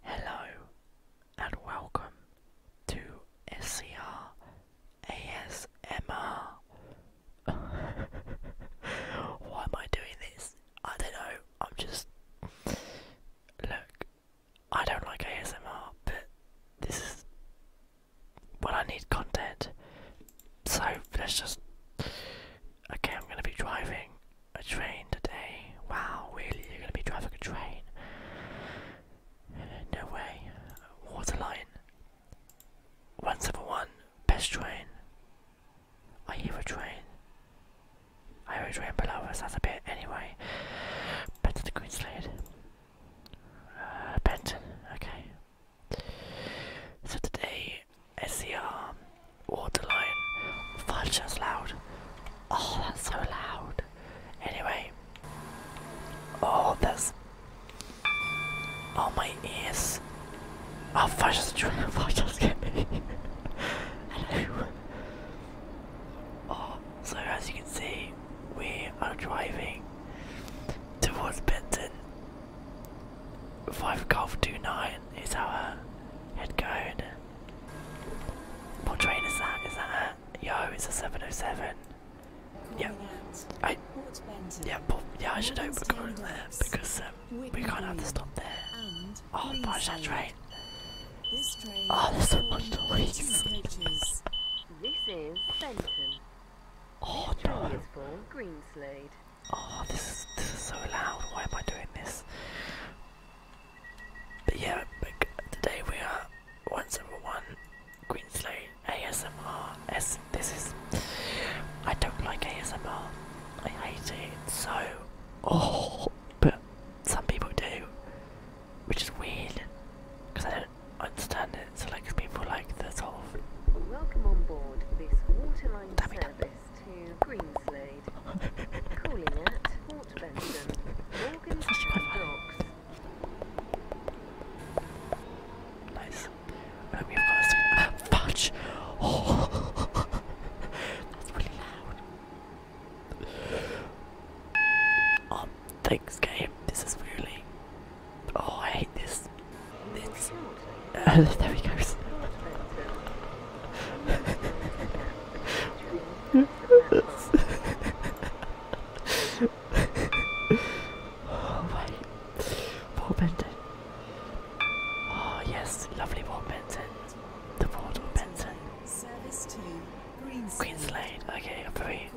Hello and welcome to SCR Why am I doing this? I don't know. I'm just. Look, I don't like ASMR, but this is. Well, I need content. So let's just. Okay, I'm gonna be driving. A train today? Wow, really? You're gonna be driving a train? No way. Waterline. 171. Best train. I hear a train. I hear a train below us, that's a bit. Anyway. Benton to Queenslade. Uh, Benton, okay. So today, SCR waterline. Vulture's loud. Oh, that's so loud. Anyway. Oh, that's. Oh, my ears. Oh, Vulture's trying to get me. Hello. Oh, so as you can see, we are driving towards Benton. 5 Golf nine is our head code. What train is that? Is that it? Yo, it's a 707. Yeah, I. Yeah, but yeah, I should hope we're going there because um, we can't have to stop there. Oh, watch that train. Oh, there's so much noise. this is Fenton. Oh no. Oh, this is this is so loud. Why am I doing this? But yeah, but today we are once over one Queensland ASMR. As this is, I don't like ASMR. I hate it so. Oh, but some people do, which is weird because I don't understand it. So like people like this sort Welcome on board this waterline service to Greenslade. Nice. And we've um, uh, fudge! That's really loud. Oh, thanks, game. This is really. Oh, I hate this. It's. Uh, there he goes oh my Paul Benton. Oh yes, lovely Port Benton. The portal Benton. Service to Greenslade. Okay, I'm very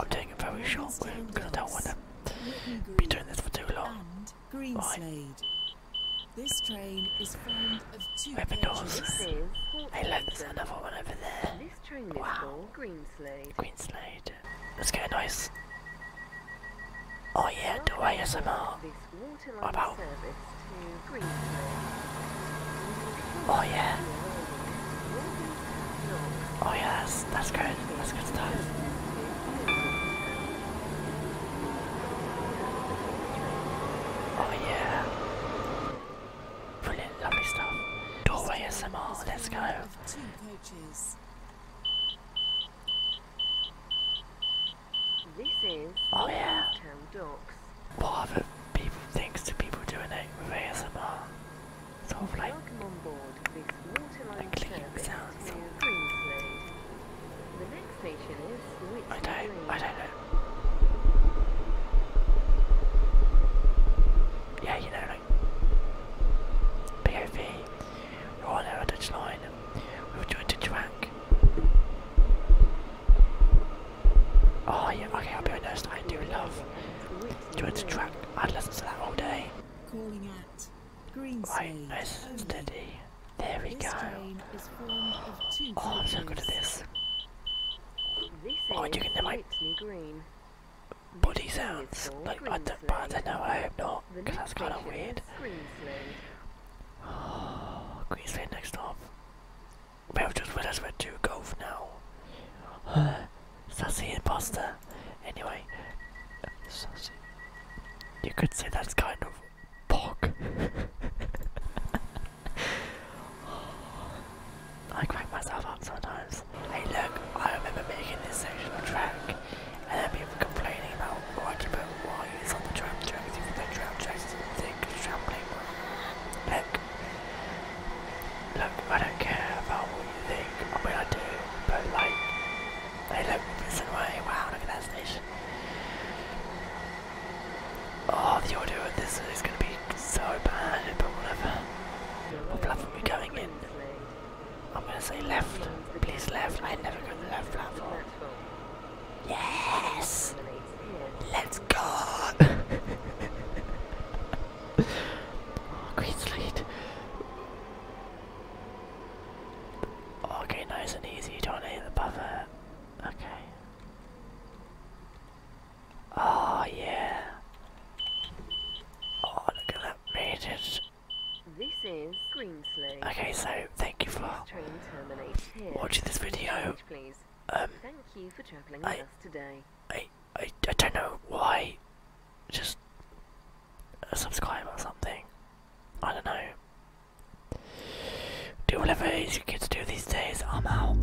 I'm doing a very short one because I don't wanna be doing this for too long. Greenslade. This train is formed of two open doors. Hey, look, there's another one over there. This train wow. Greenslade. Greenslade. Let's get a noise. Oh yeah, do I ASMR? What about? Oh yeah. Oh yeah, that's good. That's good stuff. Oh yeah. Brilliant, lovely stuff. Doorway SMR, let's go. This is oh yeah. What other people thinks do people doing it with ASMR? Sort of like, like sounds. The next station is I don't, I don't know. Yeah, you know, like, POV, you're on Heritage Line, we were joined to track. Oh yeah, okay, I'll be honest, I do love joined to track. I'd listen to that all day. Calling at Green right, nice, steady. There we go. Oh, I'm so good at this. Oh, you can hear my body sounds. Like, I don't, but I don't know, I hope not, because that's kind of weird. Oh, Queensland next stop. We've just realised we're two golf now. Uh, sassy imposter. Anyway, You could say that's kind of Fuck. I crack myself up sometimes. Hey look, I remember making this section track and then people complaining about why you put wires on the tram tracks if the tram tracks is Look, look, I don't care about what you think, I mean I do, but like, hey look, this way, wow look at that station. Oh, the audio of this is going to be so bad, but whatever. What platform are we going in? I'm going to say left. Please left. I never go to the left platform. Yes! Let's go! oh, green Okay, nice and easy. Don't hit the buffer. Okay. Oh yeah. Oh look at that made This is Greenslade. Okay, so thank you for watching this video. Please. Um thank you for travelling I, I I don't know why just a subscribe or something. I don't know. Do whatever Asian kids do these days. I'm out.